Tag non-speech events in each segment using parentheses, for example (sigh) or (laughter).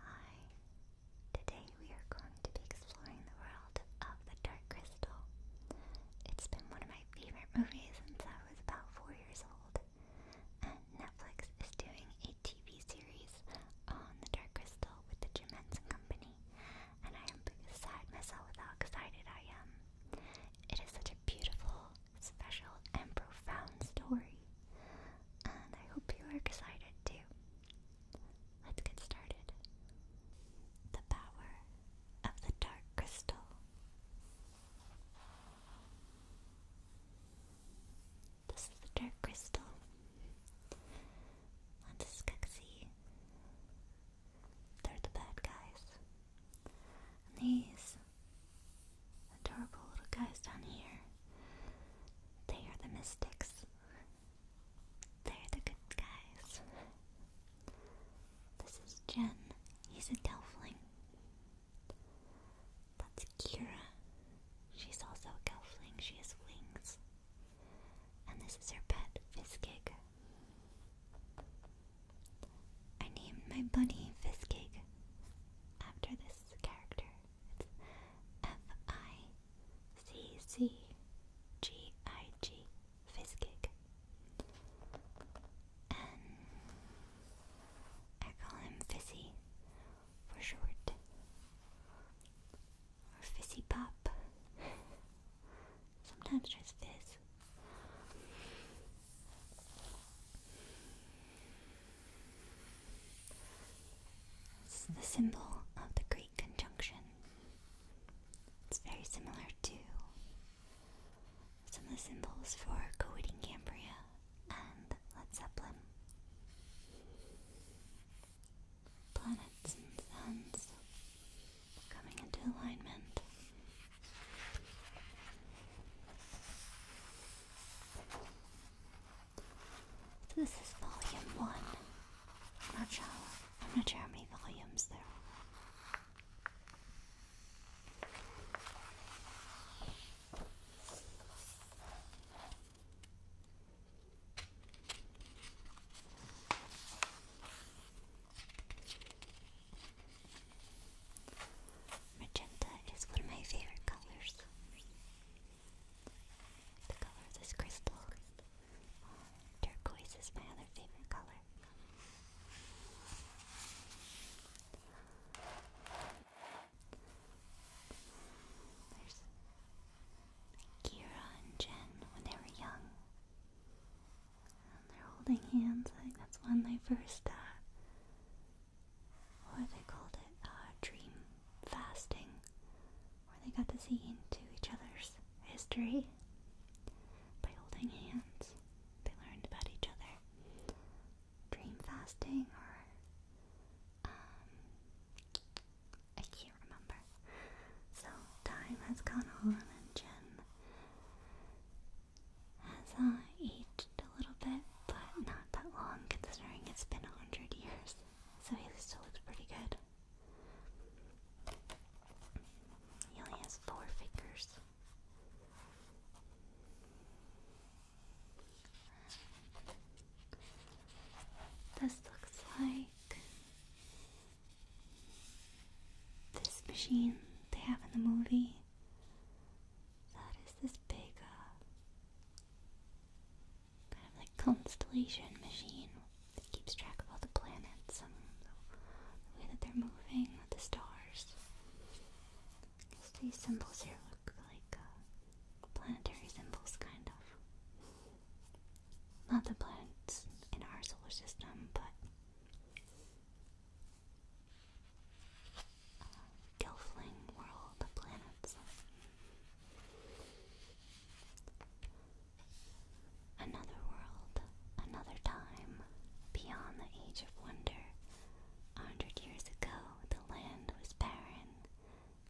Hi, today we are going to be exploring the world of The Dark Crystal. It's been one of my favorite movies since I was about four years old, and Netflix is doing a TV series on The Dark Crystal with the Jim Henson Company, and I am beside myself with how excited I am. It is such a beautiful, special, and profound story and I hope you are excited too. Let's get started. The power of the dark crystal. This is the dark crystal. And this is They're the bad guys. these adorable little guys down here. They are the mystics. They're the good guys. This is Jen. He's a Gelfling. That's Kira. She's also a Gelfling. She has wings. And this is her pet, Fiskig. I named my bunny Fiskig after this character. F I C C G I G Fizzgig. And I call him Fizzy for short. Or Fizzy Pop. Sometimes just Fizz. It's the symbol of the Greek conjunction. It's very similar to some of the symbols for Coed Cambria and Led Zeppelin. Planets and suns coming into alignment. This is volume one. I'm not sure. not sure how many volumes there are. Magenta is one of my favorite colors. The color of crystal. turquoise is my other favorite color. There's Kira and Jen when they were young. And they're holding hands. I that's when they first uh, what they called it, uh, dream fasting, where they got to see into each other's history by holding hands. They learned about each other. Dream fasting, or um, I can't remember. So time has gone on, and Jen has uh, aged a little bit but not that long considering it's been a hundred years. So he still looks pretty good. He only has four fingers. This looks like this machine they have in the movie. That is this big, uh, kind of like constellation machine that keeps track of all the planets and the way that they're moving, the stars. these symbols here look like uh, planetary symbols, kind of. Not the planets in our solar system, but Gelfling world of planets. Another world, another time, beyond the age of wonder. A hundred years ago, the land was barren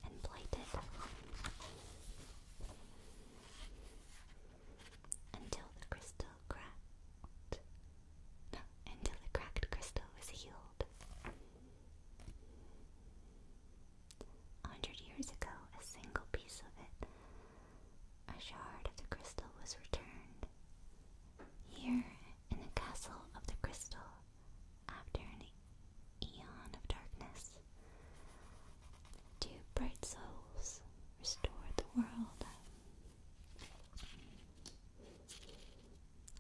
and blighted. Until the crystal cracked. until the cracked crystal was healed. A hundred years ago, a single piece of it, a shard of the crystal, was returned. Here, in the castle of the crystal, after an eon of darkness, two bright souls restored the world.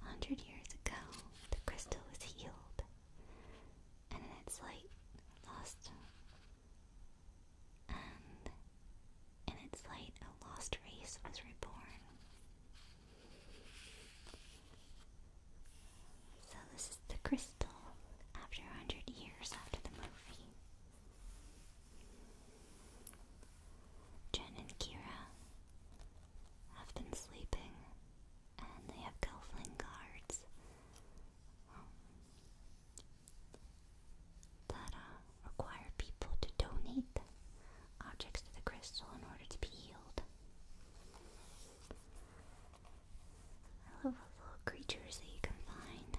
A hundred years ago, the crystal was healed, and in its light lost, and in its light a lost race was reborn. So this is the crystal after a hundred years after the movie. Jen and Kira have been sleeping and they have Gelfling guards um, that uh, require people to donate objects to the crystal in order to be healed. I love little creatures that you can find.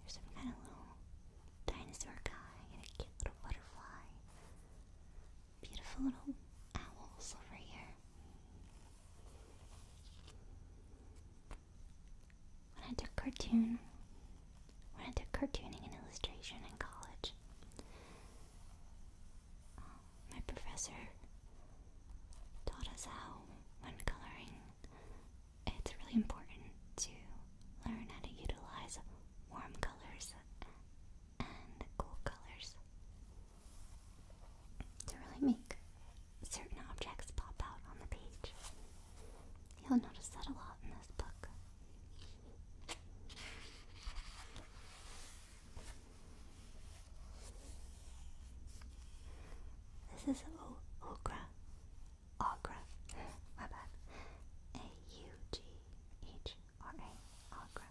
There's some kind of little dinosaur guy and a cute little butterfly. Beautiful little owls over here. When I took cartoon, when I took cartooning and illustration in college, um, my professor taught us how, when coloring, it's really important to learn how to utilize warm colors and cool colors to really make certain objects pop out on the page. You'll notice that a lot in this book. This is o Ogra. My bad. A U G H or A Agra.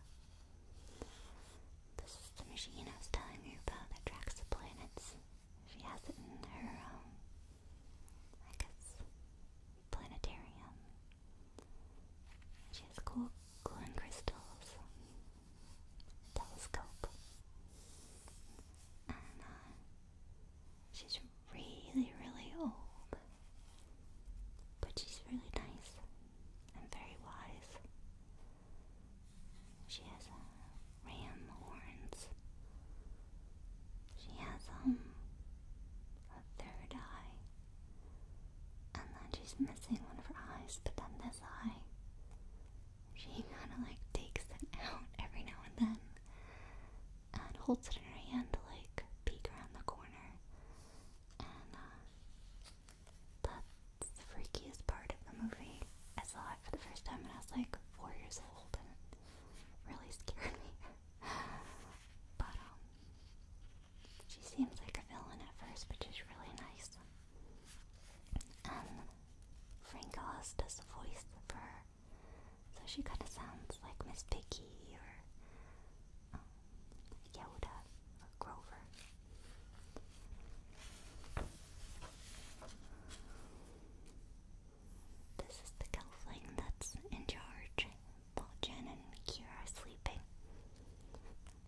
This is the machine I was telling you about that tracks the planets. She has it in her, um, I guess, planetarium. She has cool glowing crystals, telescope, and uh, She's really, really old, but she's really nice and very wise. She has uh, ram horns. She has um a third eye, and then she's missing one of her eyes. But then this eye, she kind of like takes it (laughs) out every now and then and holds it in her hand like peek around the corner. And uh, that's the freakiest part of the movie. I saw it for the first time when I was like four years old, and really scared me. (laughs) but um, she seems like a villain at first, which is really nice. And Frank Oz does the voice for so she kind of sounds like Miss Piggy or um, Yoda or Grover. This is the gelfling that's in charge while Jen and Kira are sleeping.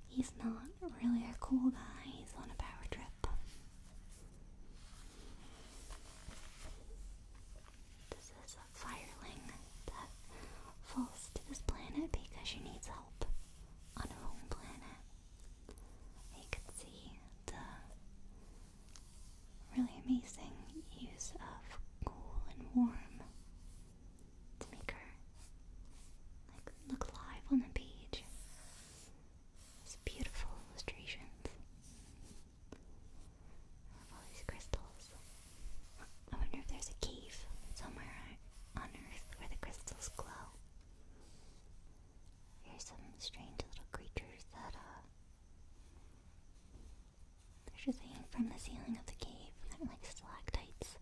He's not really a cool guy, he's on a power trip. This is a fireling that falls to this planet because she needs help on her own planet. You can see the really amazing use of cool and warm to make her look live on the page. It's beautiful illustrations all these crystals. I wonder if there's a cave somewhere on Earth where the crystals glow. There's some strange little creatures that, are. Uh, They're just hanging from the ceiling of the cave. They're like stalactites.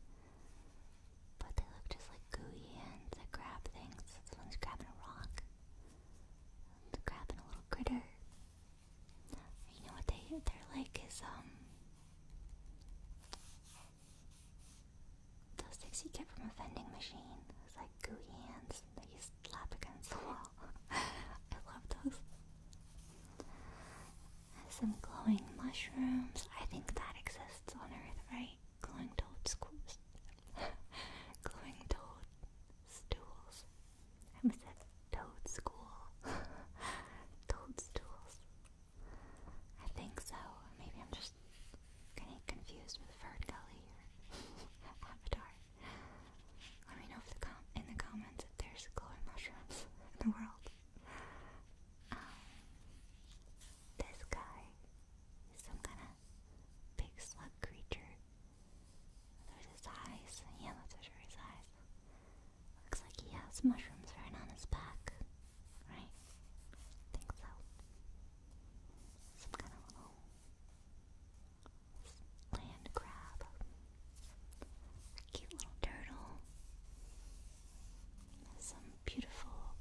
But they look just like gooey hands that grab things. This one's grabbing a rock. It's grabbing a little critter. You know what they they're like is um those things you get from a vending machine. It's like gooey hands that you slap against the wall. (laughs) I love those. Some glowing mushrooms. I think that exists on Earth, right? Glowing toad schools. (laughs) glowing toad stools. I almost toad school. (laughs) Toadstools. I think so. Maybe I'm just getting confused with Fern Gully or (laughs) Avatar. Let me know if the com in the comments if there's glowing mushrooms in the world. Um, this guy is some kind of big slug creature there's his eyes. Yeah, let's measure his eyes. Looks like he has mushrooms right on his back. Right? I think so. Some kind of little land crab. Cute little turtle. some beautiful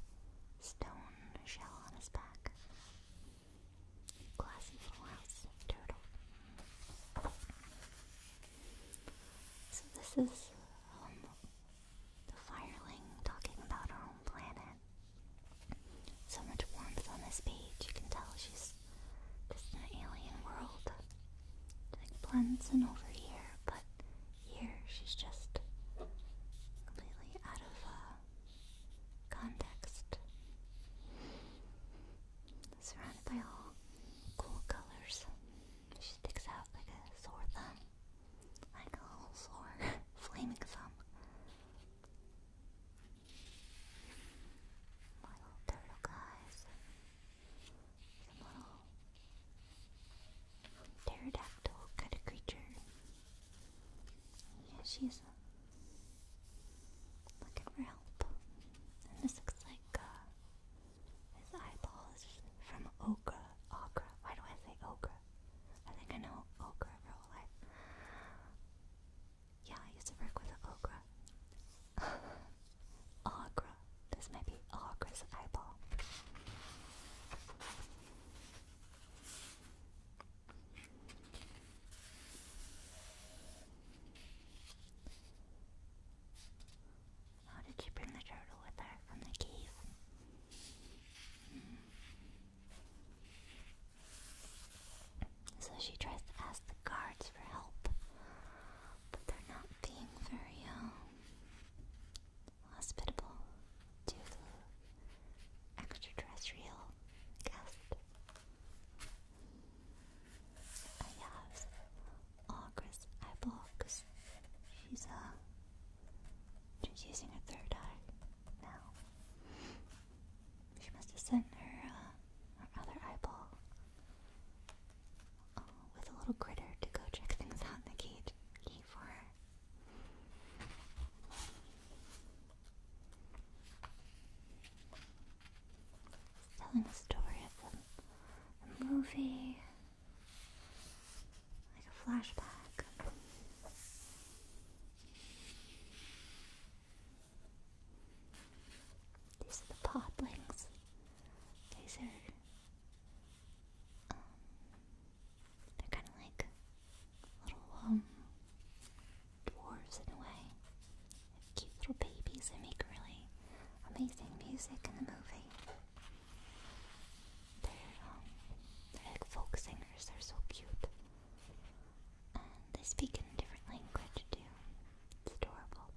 stone shell on his back. Glassy little turtle. So this is um, the fireling talking about her own planet. So much warmth on this page. You can tell she's just an alien world. Like blends in over here, but here she's just completely out of uh, context surrounded by all cool colors. She sticks out like a sore thumb. Like a little sore, (laughs) flaming thumb. My little turtle guys. Some little pterodactyl kind of creature. Yeah, she's Looking for help. this looks like uh, his eyeballs from ochre. Ochre. Why do I say ochre? I think I know ochre for all life. Yeah, I used to work with an Agra. (laughs) This might be Agra's eyeball. How did she bring the turtle with her from the cave? So she tries to ask the guards for help, but they're not being very um, hospitable to the extraterrestrial guest. I have Ogress Eye Box. She's uh she's using her third eye now. She must have sent her uh, her other eyeball uh, with a little critter to go check things out in the cage cave for her telling a story of a, movie, like a flashback. These are the poplings. These are, um, they're kind of like little, um, dwarves in a way. cute little babies that make really amazing music in the movie. Um, they're, like folk singers, they're so cute. And they speak in a different language too. It's adorable.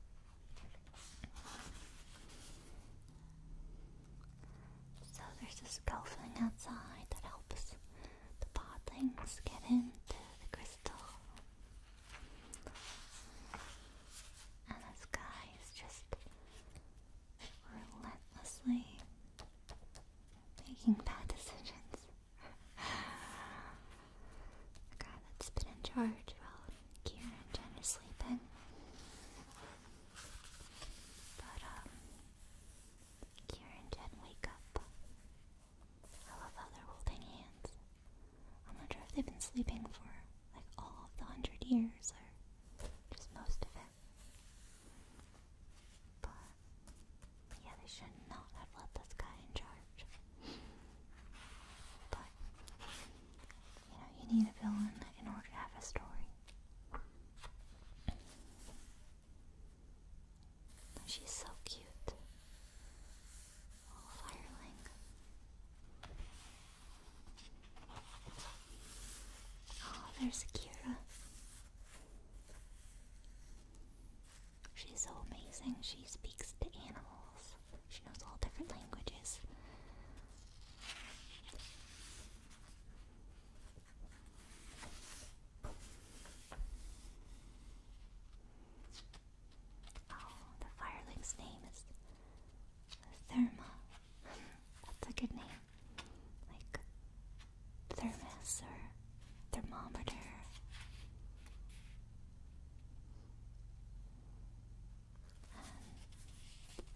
So there's this golfing outside that helps the podlings get into the crystal and this guy is just relentlessly making bad decisions. the guy that's been in charge while Kieran and Jen are sleeping. But, um, Kieran and Jen wake up I love how they're holding hands. I'm if they've been sleeping for like all of the hundred years or just most of it. But yeah, they should not have let this guy in charge. But you know, you need a villain in order to have a story. She's so cute. Firelink. Oh, there's Akira. She's so amazing. She speaks to animals. She knows all different languages. Oh, the firelink's name is Therma. That's a good name. Like thermos or thermometer.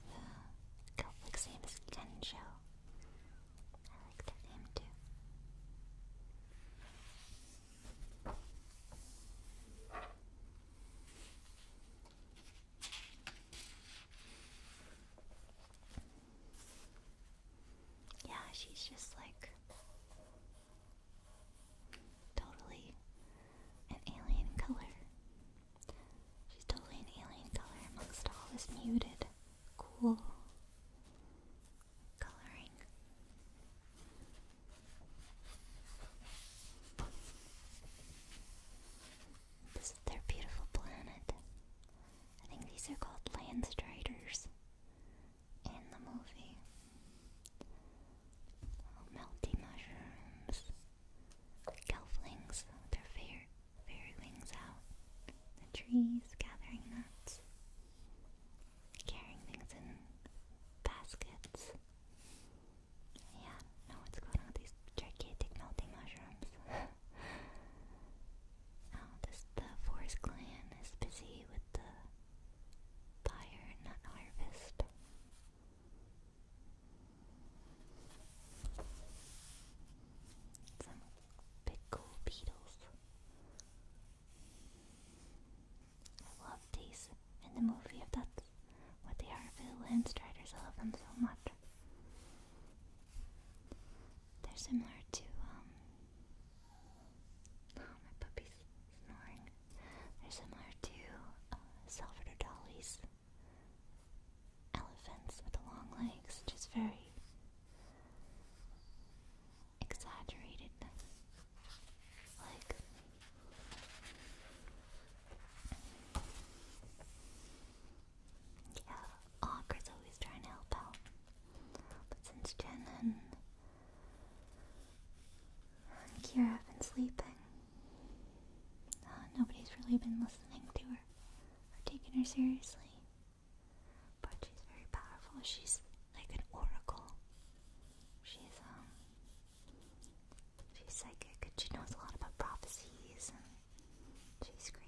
the Gelflick's name is Gensho. I like that name too. Yeah, she's just like totally an alien color. She's totally an alien color amongst all this muted, cool, coloring. This is their beautiful planet. I think these are called Landstriders in the movie. melty mushrooms. Gelflings, their fairy, fairy wings out. The trees gathering nuts carrying things in baskets. Yeah, no, what's going on with these gigantic melting mushrooms? (laughs) oh, this the forest clan is busy with the fire nut harvest. Some big cool beetles. I love these in the movie if that's what they are. The Landstriders, I love them so much. They're similar to, um, oh, my puppy's snoring. They're similar to uh, Salvador Dali's elephants with the long legs, just very exaggerated. Like, yeah, Awker's always trying to help out. But since Jen and Kira have been sleeping, uh, nobody's really been listening to her or taking her seriously. But she's very powerful. She's like an oracle. She's um she's psychic and she knows a lot about prophecies and she's great.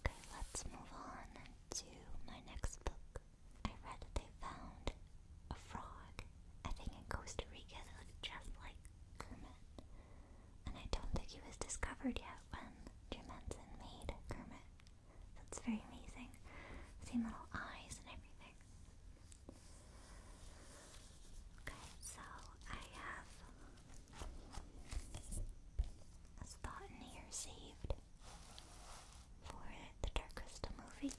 Okay, let's move on to my next book. I read They Found a frog. I think in Costa Rica they look just like Kermit. And I don't think he was discovered yet when Jermenson made Kermit. That's very amazing. Same little eyes and everything. Okay, so I have a spot in here saved for the Dark Crystal movie.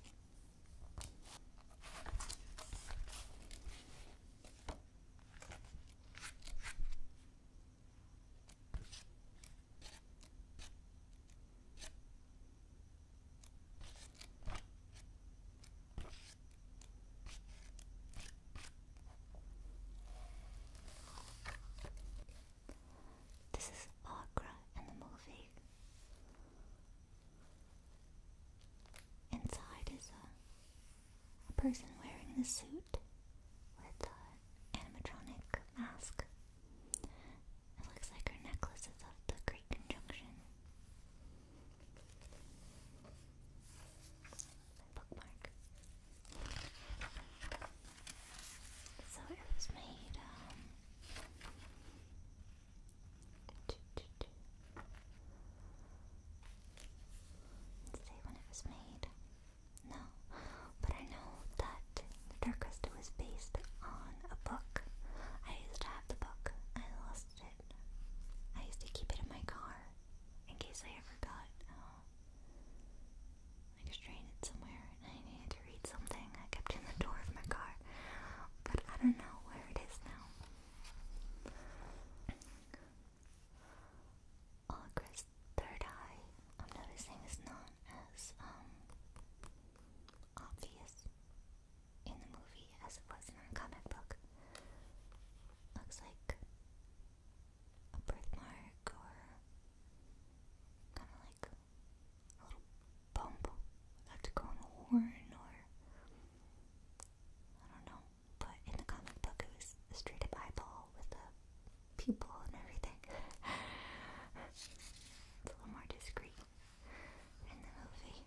This is Agra in the movie. Inside is a, person wearing the suit with an animatronic mask. It looks like her necklace is of the Great Conjunction. Bookmark. So it was made um, Say when it was made. No, but I know that the Dark Crystal was based on a book. I used to have the book. I lost it. I used to keep it in my car in case I ever got um, stranded somewhere and I needed to read something. I kept in the door of my car, but I don't know where it is now. Oh, Chris, third eye, I'm noticing is not as um, obvious in the movie as it was in our comic book. Looks like a birthmark or kind of like a little bump, like to go horn or I don't know, but in the comic book it straight up eyeball with a pupil and everything. (laughs) it's a little more discreet in the movie.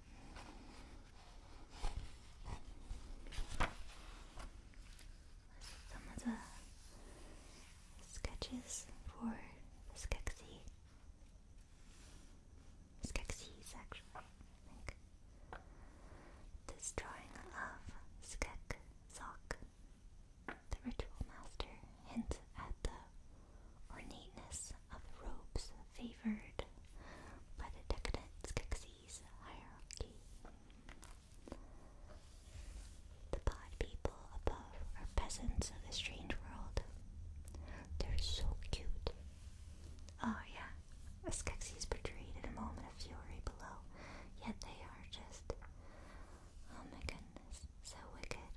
Some of the sketches for the Skeksis, actually, This drawing of Skek Zok, the ritual master, hints at the ornateness of the robes favored by the decadent Skeksis hierarchy. The pod people above are peasants of a strange world. They're so cute Oh, yeah. Skeksis betrayed in a moment of fury below, yet they are just. Oh my goodness, so wicked.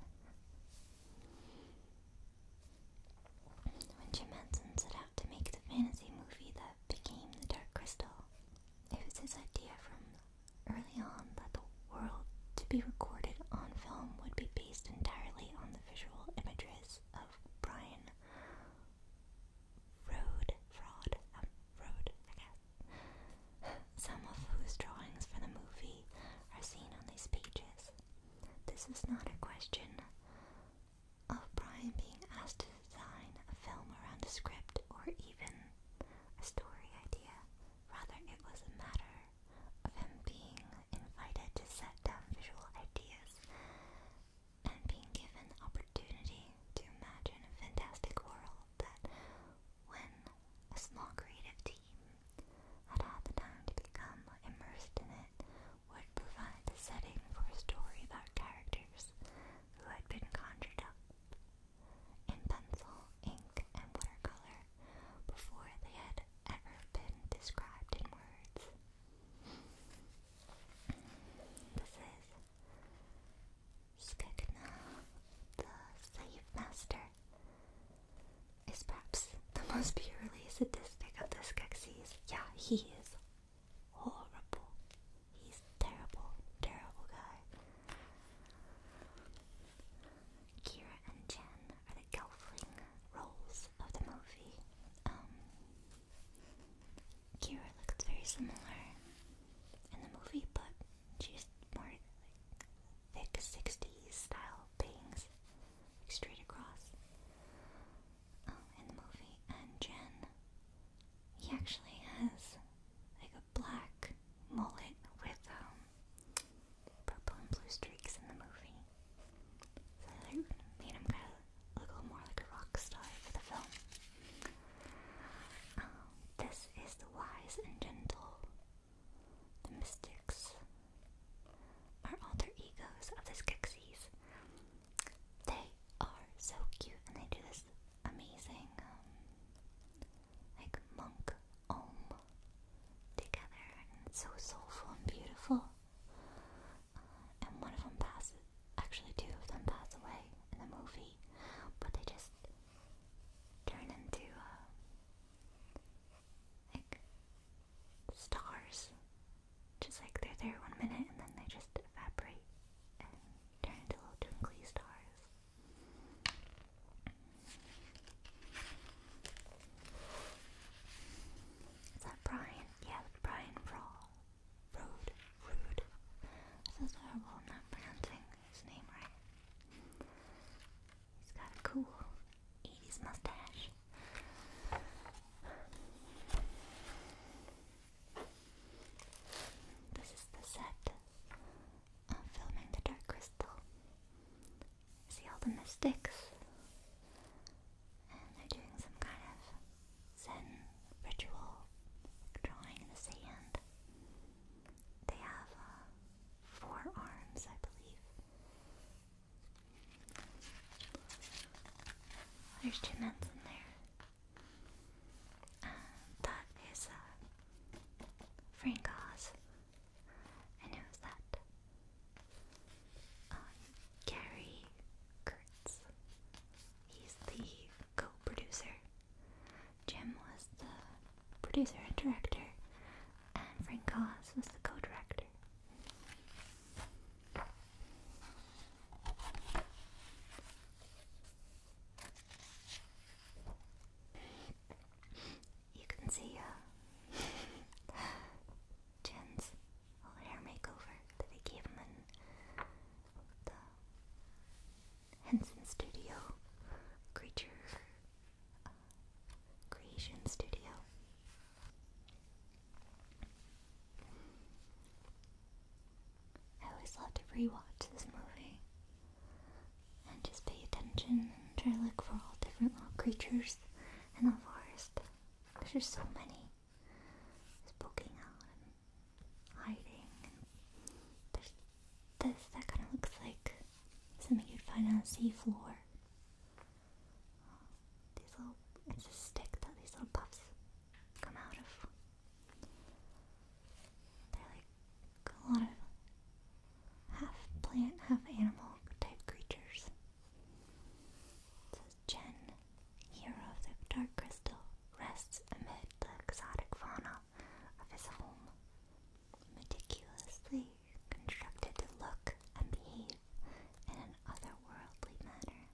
When Jim Henson set out to make the fantasy movie that became The Dark Crystal, it was his idea from early on that the world to be recorded on film would be based entirely on the visual images charges of um, Brian Road Fraud, Road, I guess, (laughs) some of whose drawings for the movie are seen on these pages. This is not a question of Brian being asked to design a film around a script or even a story idea. Rather, it was a matter of him being invited to set down visual ideas and being given the opportunity to imagine a fantastic world that, when a small creative team had had the time to become immersed in it, would provide the setting for a story about characters who had been conjured up in pencil, ink, and watercolor before they had ever been described in words. This is Skegna, the slave master, is perhaps the most purely sadistic of the Skeksis. Yeah, he is horrible. He's terrible, terrible guy. Kira and Jen are the Gelfling roles of the movie. Um, Kira looks very similar in the movie, but she's more like thick 60s style bangs, straight across um, in the movie. And Jen, he actually has like a black mullet with um purple and blue streaks in the movie. made him kind of look more like a rock star for the film. Um, this is the wise and gentle. The mystics are alter egos of the Skeksis. They are so cute, and they do this amazing, um, like monk om together, and so soulful and beautiful and one of them passes. Actually, two of them pass away in the movie, but they just turn into uh, like stars. Just like they're there one minute and then they just evaporate and turn into little twinkly stars. Is that Brian? Yeah, Brian Raw. Road. Rude. This is horrible. not pronouncing his name right. He's got a cool 80s mustache. This is the set of filming the Dark Crystal see all the mystics, and they're doing some kind of Zen ritual, drawing in the sand. They have uh, four arms, I believe. There's two men's in there. Uh, that is uh, Frank Oz and who's that? Um, Gary Kurtz. He's the co-producer. Jim was the producer and director, and Frank Goss was the co-director you can see uh, (laughs) Jen's little hair makeover that I gave him in the Henson Studio Creature uh, Creation Studio. I always love to rewatch this movie and just pay attention and try to look for all different little creatures in the forest. Because there's so many. poking out and hiding. there's this that kind of looks like something you'd find on the seafloor. These little, it's a stick that these little puffs come out of. They're like a lot of half plant, half animal type creatures. The Gen, hero of the Dark Crystal, rests amid the exotic fauna of his home, meticulously constructed to look and behave in an otherworldly manner.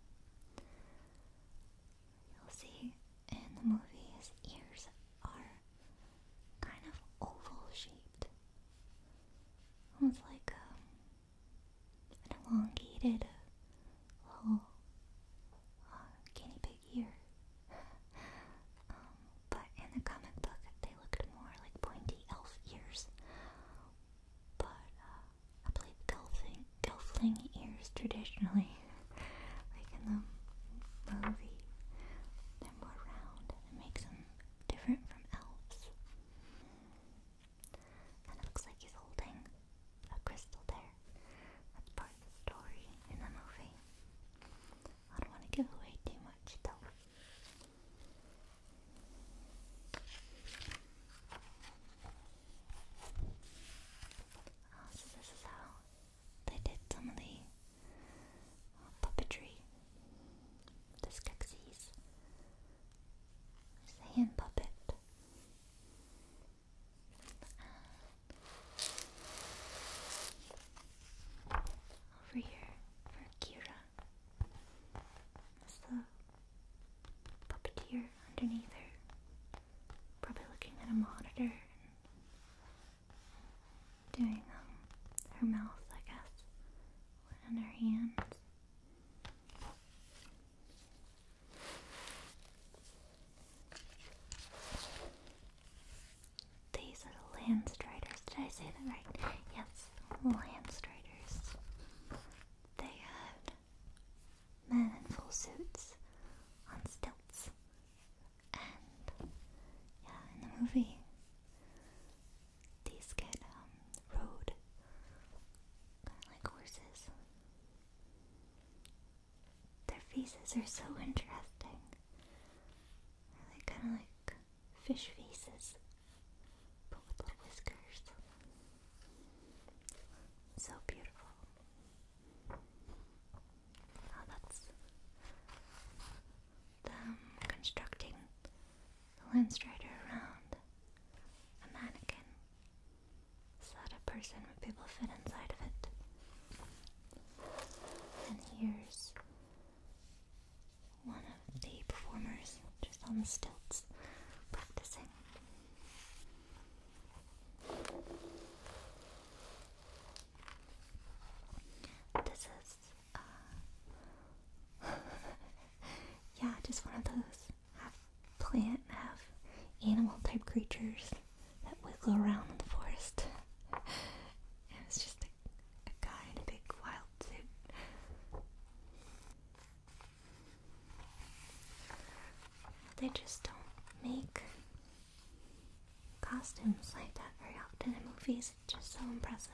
You'll see in the movie his ears are kind of oval shaped. It was like um, an elongated uh, little uh, guinea pig ear. Um, but in the comic book, they looked more like pointy elf ears. But uh, I believe gelfling, gelfling ears traditionally, (laughs) like in the movie, they're more round it makes them different from elves. And it looks like he's holding a crystal there. That's part of the story in the movie. I don't want to give away too much though. Oh, so this is how they did some of the puppetry this Skeksis. There's a hand puppet. over here for Kira. There's the puppeteer underneath her. Probably looking at a monitor doing um, her mouth, I guess on her hands. These are the land striders. Did I say that right? Yes, land striders. They had men in full suits on stilts. And yeah, in the movie, these can um rode like horses. Their faces are so interesting. they kind of like fish faces, but with little whiskers. So beautiful. Oh, that's them constructing the Lens Rider around a mannequin so that a person would be able to fit inside of it. And here's one of the performers just on the stilts practicing. This is uh, (laughs) yeah, just one of those plant, half animal type creatures that wiggle around in the forest. (laughs) it's just a guy in a big wild suit. They just don't make costumes like that very often in movies just so impressive.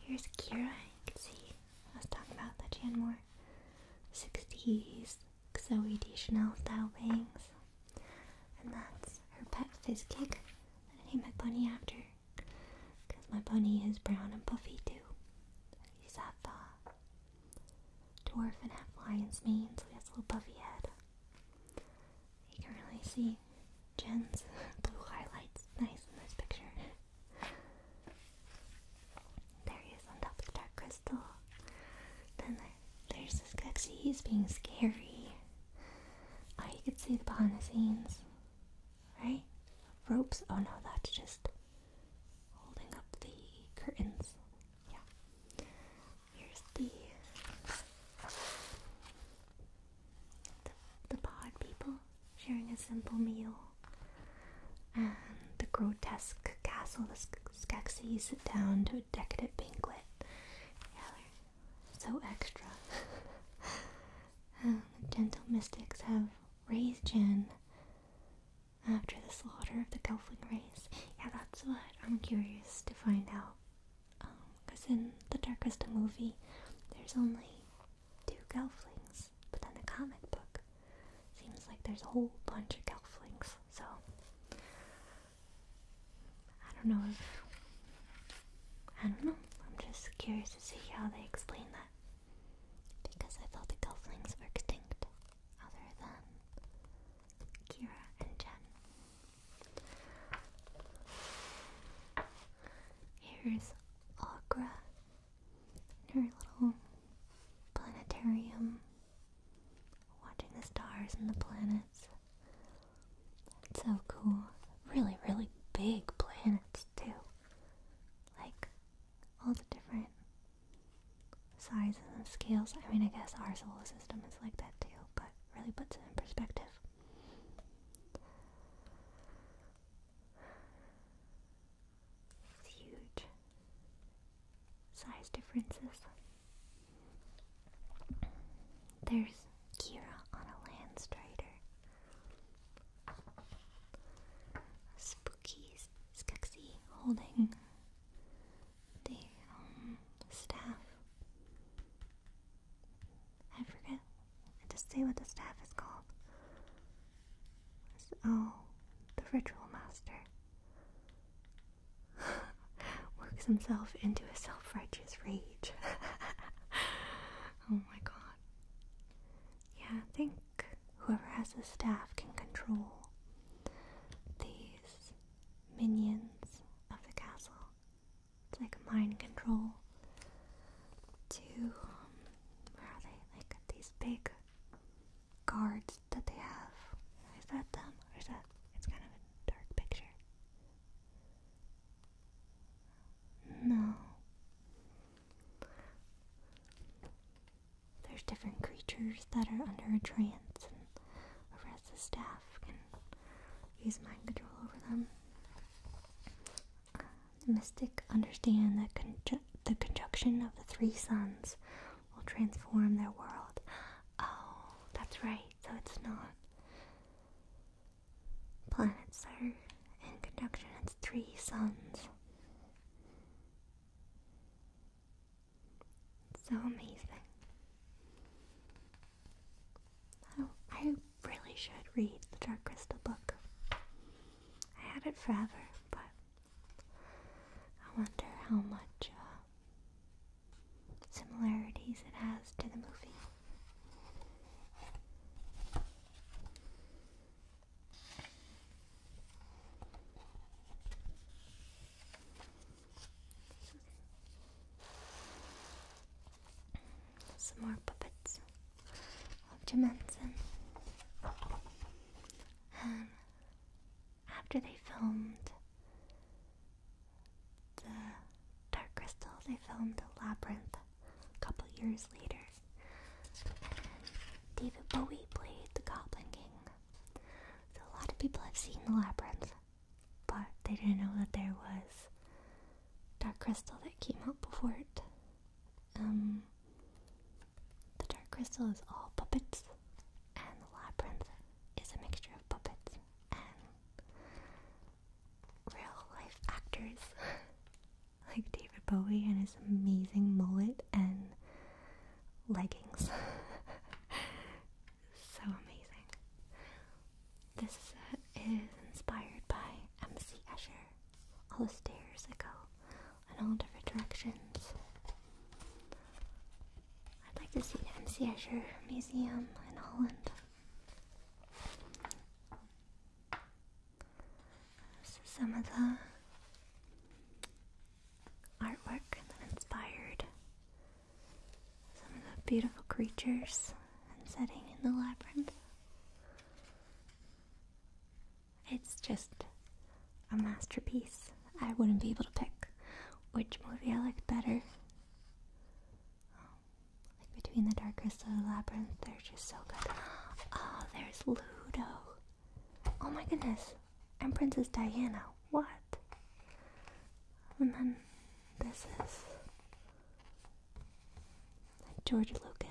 Here's Kira. You can see I was talk about that she had more 60s Zoe D. Chanel style bangs. And that's her pet fizz cake that I named my bunny after. Because my bunny is brown and puffy too. He's half uh, Dwarf and half lion's mane, so he has a little buffy head. You can really see Jen's (laughs) blue highlights nice in this picture. There he is on top of the dark crystal. Then there's this Gexy, he's being scary. Oh, you can see the behind the scenes. Right? Ropes. Oh no, that's just holding up the curtains yeah. Here's the the, pod people sharing a simple meal, and the grotesque castle the Skeksis sit down to a decadent banquet. so extra. (laughs) gentle mystics have raised gin after the slaughter of the Gelfling race? Yeah, that's what I'm curious to find out. Because um, in the Darkest movie, there's only two Gelflings, but in the comic book, seems like there's a whole bunch of Gelflings. So, I don't know I don't know. I'm just curious to see how they explain that. Because I thought the Gelflings were extinct other than Kira and Jen. Here's Agra in her little planetarium, watching the stars and the planets. It's so cool. Really, really big planets, too. Like all the different sizes and scales. I mean, I guess our solar system is like that too, but really puts it in perspective. huge size differences. There's Kira on a land strider spooky, Skeksis holding the um, staff. I forget. I say what the staff is called. oh, the ritual master (laughs) works himself into a self-righteous rage. (laughs) oh my god. Yeah, think whoever has the staff can control these minions of the castle. It's like mind control to, um, where are they? Like these big guards that they have. Is that them? Or is that, it's kind of a dark picture. No. There's different creatures that are under a trance, and the whoever the staff can use mind control over them. the mystic understand that the conjunction of the three suns will transform their world. Oh, that's right. So it's not planets are in conjunction; it's three suns. So amazing. Oh, I, really should read the Dark Crystal book. I had it forever, but I wonder how much uh, similarities it has to the movie. Some more puppets of Jim And after they filmed the Dark Crystal, they filmed Labyrinth a couple years later. David Bowie played the Goblin King. So a lot of people have seen the labyrinth, but they didn't know that there was dark crystal that came out before it. Um, the dark crystal is all puppets, and the labyrinth is a mixture of puppets and real life actors (laughs) like David Bowie and his amazing mullet and leggings. (laughs) so amazing. This is inspired by MC Escher. All the stairs that go in all different directions. I'd like to see the MC Escher Museum in Holland. This is some of the artwork that inspired some of the beautiful creatures and setting in the labyrinth. It's just a masterpiece. I wouldn't be able to pick which movie I liked better. Like Between the Dark Crystal and the Labyrinth, they're just so good. Oh, there's Ludo. Oh my goodness, I'm Princess Diana. What? And then this is George Lucas.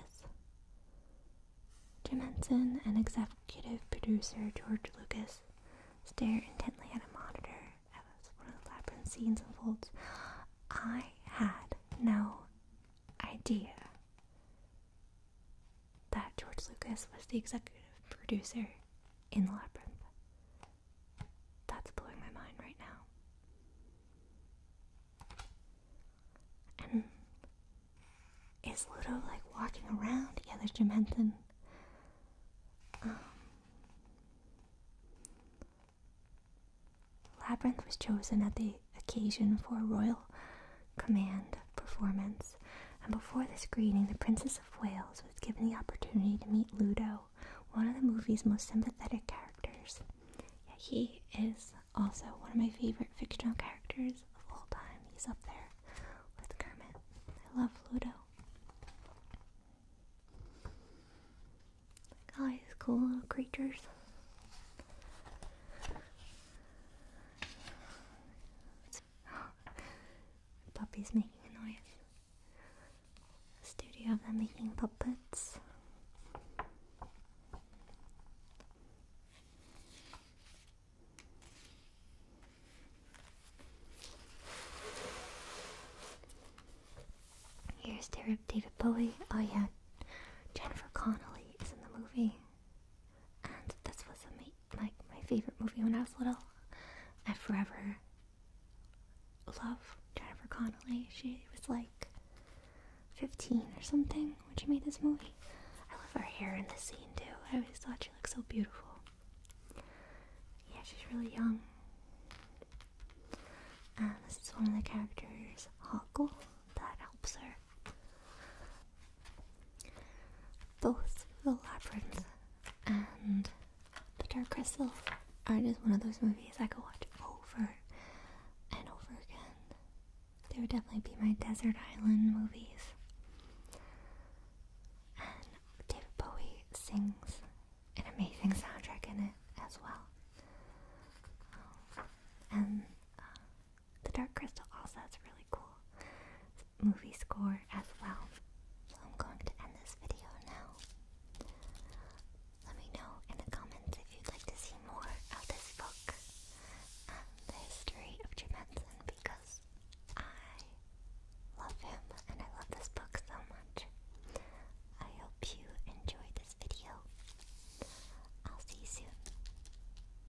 Jim Henson and executive producer George Lucas stare intently at a monitor as one of the labyrinth scenes unfolds. I had no idea that George Lucas was the executive producer in The Labyrinth. That's blowing my mind right now. And is Ludo like walking around? Yeah, there's Jim Henson. Um, Labyrinth was chosen at the occasion for royal command performance, and before this greeting, the Princess of Wales was given the opportunity to meet Ludo, one of the movie's most sympathetic characters. he is also one of my favorite fictional characters of all time. He's up there with Kermit. I love Ludo. all these cool little creatures puppy's (gasps) making a noise. studio of them making puppets. Here's Derek David Bowie. Oh yeah, Jennifer Connolly is in the movie. And this was a me like my favorite movie when I was little. I forever love Jennifer Connelly. She was like 15 or something when she made this movie. I love her hair in the scene too. I always thought she looked so beautiful. Yeah, she's really young. And uh, this is one of the characters, Huckle, that helps her both the Labyrinth and the Dark Crystal are just one of those movies I could watch over and over again. They would definitely be my desert island movies. And David Bowie sings an amazing soundtrack in it as well. Um, and uh, the Dark Crystal also has a really cool movie score as well. So I'm going to end this video now. Let me know in the comments if you'd like to see more of this book the history of Jim Henson because I love him and I love this book so much. I hope you enjoyed this video. I'll see you soon.